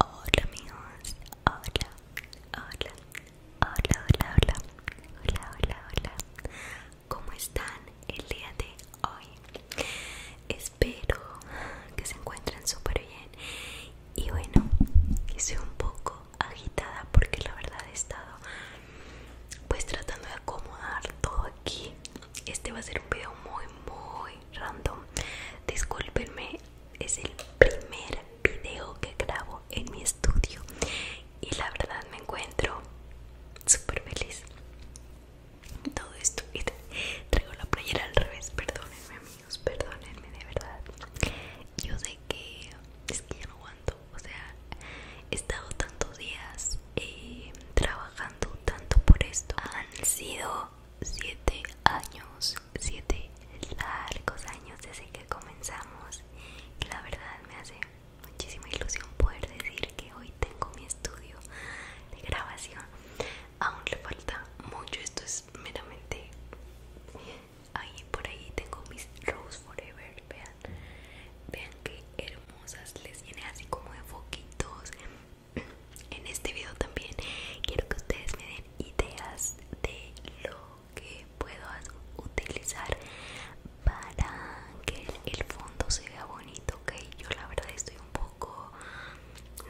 Hola amigos, hola, hola, hola, hola, hola, hola, hola, ¿cómo están el día de hoy? Espero que se encuentren súper bien y bueno, estoy un poco agitada porque la verdad he estado pues tratando de acomodar todo aquí. Este va a ser un video muy, muy random. Discúlpenme, es el primer video que grabo en mi estudio y la verdad me encuentro super feliz. Todo esto, y traigo la playera al revés, perdónenme amigos, perdónenme de verdad. Yo sé que es que ya no aguanto, o sea, he estado tantos días trabajando tanto por esto. Han sido 7 años, 7 largos años desde que comenzamos. Y la verdad me hace muchísima ilusión poder decir que hoy tengo mi estudio de grabación. Aún le falta mucho, esto es meramente... Ahí por ahí tengo mis Rose Forever, vean, vean que hermoso les viene así como de foquitos en este video también quiero que ustedes me den ideas de lo que puedo utilizar para que el fondo se vea bonito ok yo la verdad estoy un poco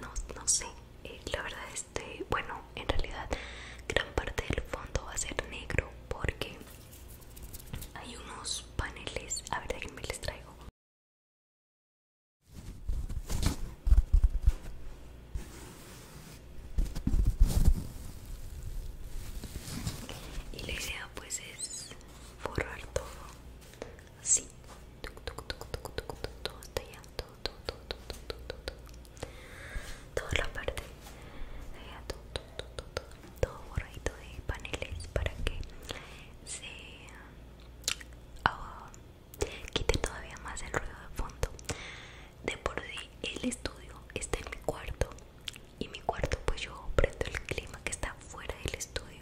no, no sé eh, la verdad este bueno en realidad gran parte del fondo va a ser negro porque hay unos paneles a ver me les traigo y la idea pues es borrar todo así. Todo todo, todo, todo, todo, todo, Toda la parte todo, todo, todo, todo, todo borradito de paneles para que se ah, quite todavía más el ruido de fondo de por sí el estudio está en mi cuarto y mi cuarto pues yo prendo el clima que está fuera del estudio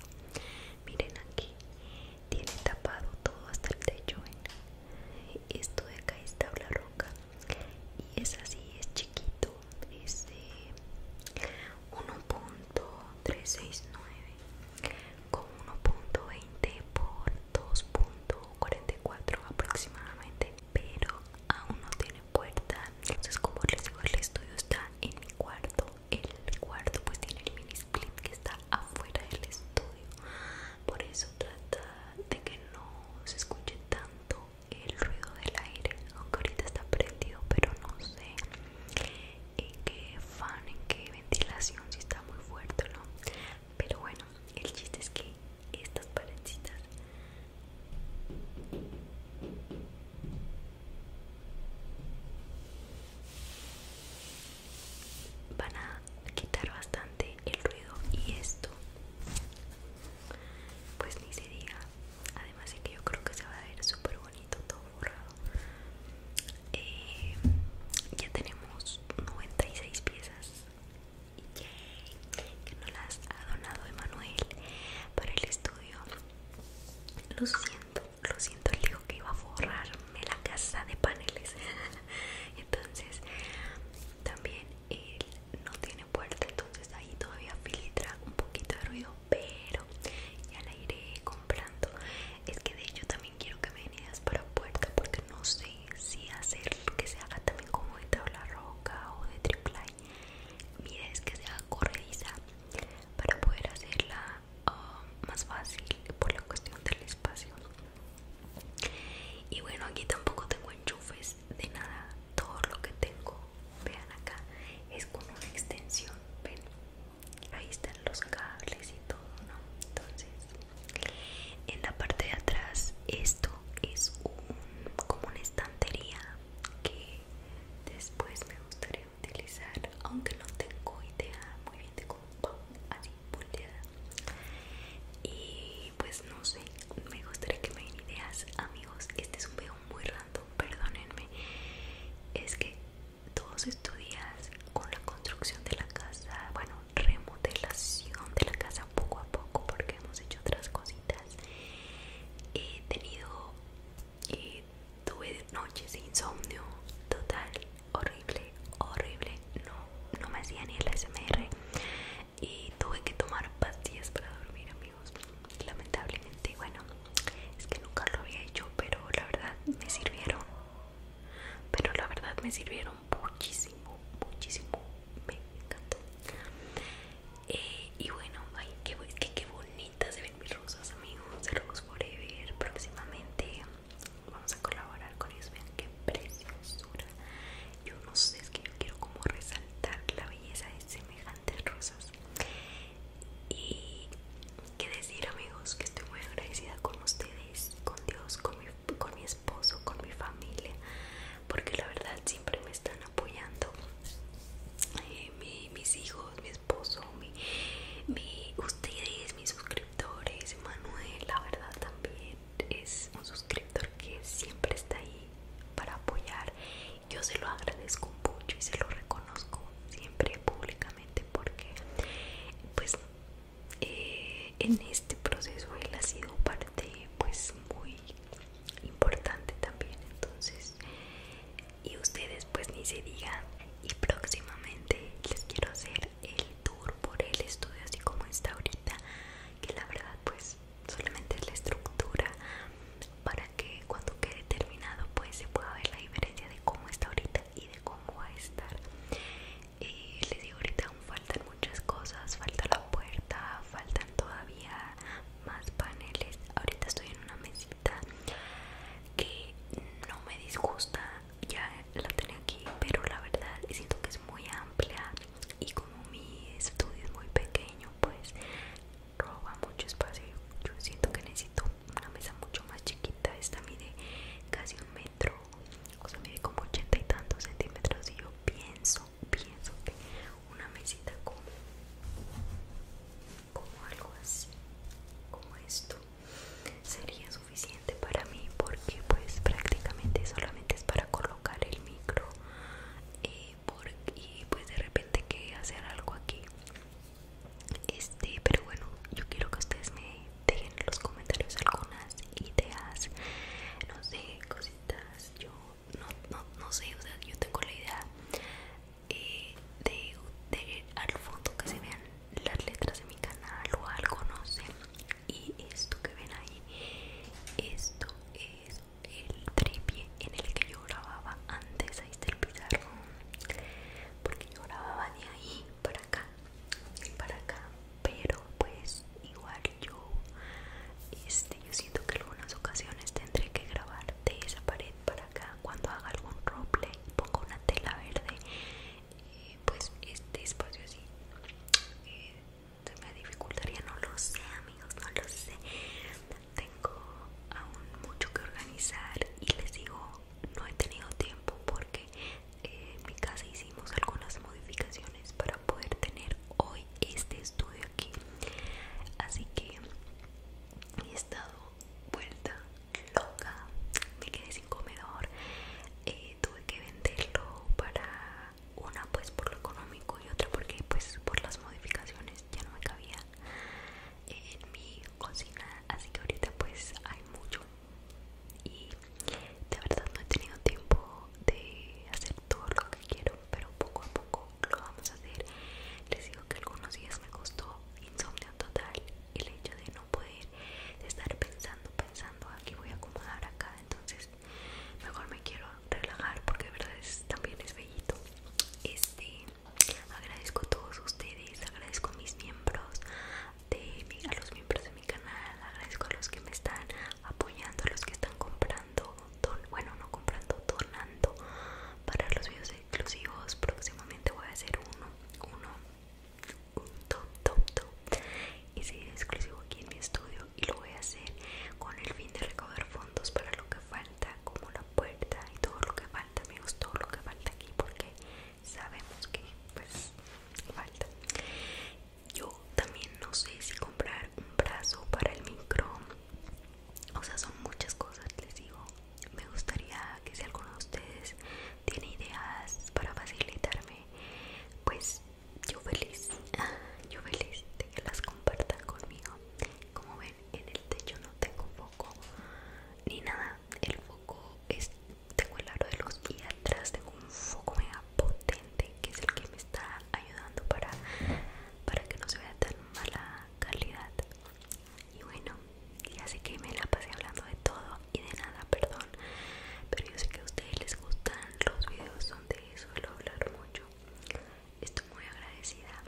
miren aquí tiene tapado todo hasta el techo esto de acá está la roca y es así es chiquito dice 1.369 con 1.20 por 2.44 aproximadamente pero aún no tiene puerta entonces como les digo el estudio está en mi cuarto el cuarto pues tiene el mini split que está afuera del estudio por eso trata de que no se escuche tanto el ruido del aire aunque ahorita está prendido pero no sé en qué fan en qué ventilación si está muy fuerte o no pero bueno el chiste es que estas paredes van a quitar bastante el ruido y esto pues ni se diga además de que yo creo que se va a ver súper bonito todo borrado eh, ya tenemos 96 piezas que nos las ha donado Emanuel para el estudio lo siento, lo siento, le dijo que iba a forrarme la casa de paneles entonces también él no tiene puerta entonces ahí todavía filtra un poquito de ruido pero ya la iré comprando es que de hecho también quiero que me den para puerta porque no sé si hacer que se haga también como de tabla roca o de triple I. mira es que se corrediza para poder hacerla ah, más fácil por la cuestión del espacio y bueno aquí tampoco tengo enchufes de nada todo lo que tengo vean acá es como una extensión ven ahí están los cables y todo no entonces en la parte de atrás esto es como una estantería que después me gustaría utilizar aunque no tengo idea muy bien de cómo así volteada y pues no sé, me gustaría que me den ideas amigos, este es un video muy random, perdónenme, es que todos estos días con la construcción de la casa, bueno, remodelación de la casa poco a poco porque hemos hecho otras cositas, he tenido, eh, tuve noches de insomnio total, horrible, horrible, no, no me hacía ni el SMR y tuve que tomar pastillas para dormir amigos lamentablemente bueno es que nunca lo había hecho pero la verdad me sirvieron pero la verdad me sirvieron muchísimo muchísimo me encantó eh, y bueno ay qué, bonitas se ven mis rosas amigos de Rose Forever próximamente vamos a colaborar con ellos vean qué preciosura yo no sé, es que yo quiero como resaltar la belleza de semejantes rosas. Y qué decir amigos, que estoy muy agradecida con ustedes, con Dios, con mi, esposo, con mi familia, porque la verdad siempre me están apoyando. Eh, mis hijos, mi esposo, ustedes, mis suscriptores, Manuel, la verdad también, es un suscriptor que siempre está ahí para apoyar. Yo se lo agradezco mucho y se lo reconozco siempre públicamente porque pues eh, en este proceso él ha sido parte pues muy importante también entonces y ustedes pues ni se digan y próximamente les quiero hacer el tour por el estudio así como está ahorita que la verdad pues solamente es la estructura para que cuando quede terminado pues se pueda ver la diferencia de cómo está ahorita y de cómo va a estar les digo ahorita aún faltan muchas cosas falta la puerta faltan todavía más paneles ahorita estoy en una mesita que no me disgusta ya la tenía aquí pero la verdad siento que es muy amplia y como mi estudio es muy pequeño pues roba mucho espacio yo siento que necesito una mesa mucho más chiquita esta mide casi un metro o sea mide como ochenta y tantos centímetros y yo pienso pienso que una mesita como algo así como esto sería suficiente para mí porque pues prácticamente solamente es para colocar el micro eh, y pues de repente que hacer algo aquí este pero bueno yo quiero que ustedes me dejen en los comentarios algunas ideas no sé cositas yo no, no, no sé o sea yo tengo la idea eh, de, de al fondo que se vean las letras de mi canal o algo no sé y esto que ven ahí esto es el tripie en el que yo grababa antes ahí está el pizarro porque yo grababa de ahí para acá y para acá pero pues igual yo este yo siento que en algunas ocasiones tendré que grabar de esa pared para acá cuando haga algún roleplay pongo una tela verde eh, pues este espacio así eh, se me dificultaría no lo sé amigos no lo sé tengo aún mucho que organizar y les digo no he tenido tiempo porque eh, en mi casa hicimos algunas modificaciones para poder tener hoy este estudio aquí así que he estado vuelta loca me quedé sin comedor tuve que venderlo para una pues por lo económico y otra porque pues por las modificaciones ya no me cabía en mi cocina así que ahorita pues hay mucho y de verdad no he tenido tiempo de hacer todo lo que quiero pero poco a poco lo vamos a hacer les digo que algunos días me costó insomnio total el hecho de no poder estar pensando, pensando, aquí voy a acomodar acá, entonces mejor me quiero relajar porque de verdad es, también es bellito. Este, agradezco a todos ustedes, agradezco a mis miembros, de, a los miembros de mi canal, agradezco a los que me están apoyando, a los que están comprando, bueno, no comprando, tornando para los videos exclusivos. Próximamente voy a hacer uno, uno un top top top exclusivo aquí en mi estudio y lo voy a hacer con el fin de recaudar fondos para lo que falta como la puerta y todo lo que falta amigos todo lo que falta aquí porque sabemos que pues falta yo también no sé si comprar un brazo para el micro o sea son muchas cosas les digo me gustaría que si alguno de ustedes tiene ideas para facilitarme, pues yo feliz, ah, yo feliz de que las compartan conmigo. Como ven, en el techo no tengo foco ni nada, el foco es, tengo el aro de luz y atrás tengo un foco mega potente que es el que me está ayudando para, para que no se vea tan mala calidad. Y bueno, y así que me la pasé hablando de todo y de nada, perdón. Pero yo sé que a ustedes les gustan los videos donde suelo hablar mucho. Estoy muy agradecida.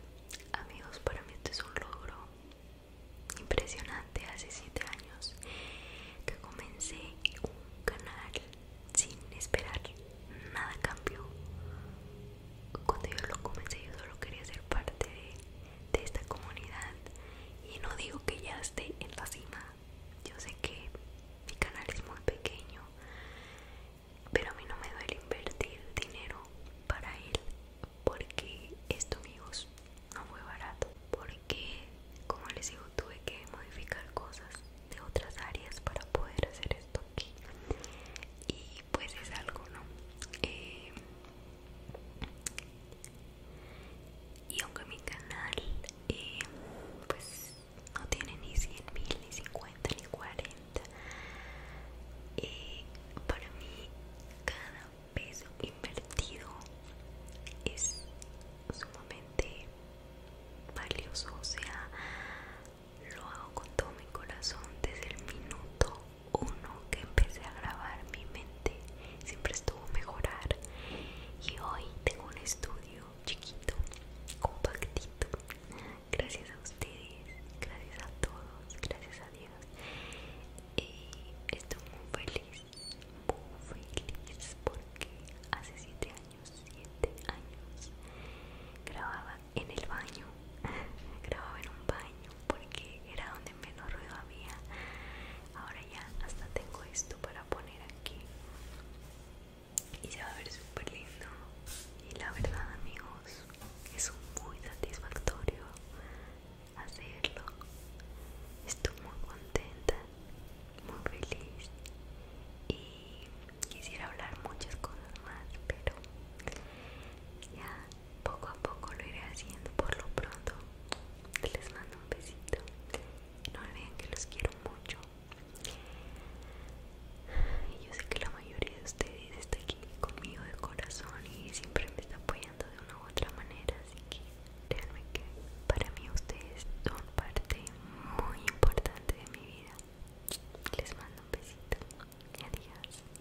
Amigos, para mí esto es un logro impresionante. Hace 7 años que comencé un canal sin esperar nada cambió. Cuando yo lo comencé yo solo quería ser parte de de esta comunidad y no digo que ya esté en la cima yo sé que mi canal es muy pequeño pero a mí no me duele invertir dinero para él porque esto amigos no fue barato porque como les digo tuve que modificar cosas de otras áreas para poder hacer esto aquí y pues es algo no eh, y aunque mi canal eh, pues no tiene ni 100 mil ni 50 ni 40 eh, para mí cada peso invertido es sumamente valioso o sea lo hago con todo mi corazón desde el minuto uno que empecé a grabar mi mente siempre estuvo mejorar y hoy tengo un estudio chiquito compactito gracias a ustedes gracias a todos gracias a Dios y estoy muy feliz muy feliz porque hace 7 años 7 años grababa en el baño grababa en un baño porque era donde menos ruido había. Ahora ya hasta tengo esto para poner aquí. Y se va a ver súper lindo. Y la verdad amigos, es muy satisfactorio hacerlo. Estoy muy contenta, muy feliz. Y quisiera hablar muchas cosas más, pero ya poco a poco lo iré haciendo por lo pronto les mando un besito no olviden que los quiero mucho y yo sé que la mayoría de ustedes está aquí conmigo de corazón y siempre me está apoyando de una u otra manera así que créanme que para mí ustedes son parte muy importante de mi vida les mando un besito y adiós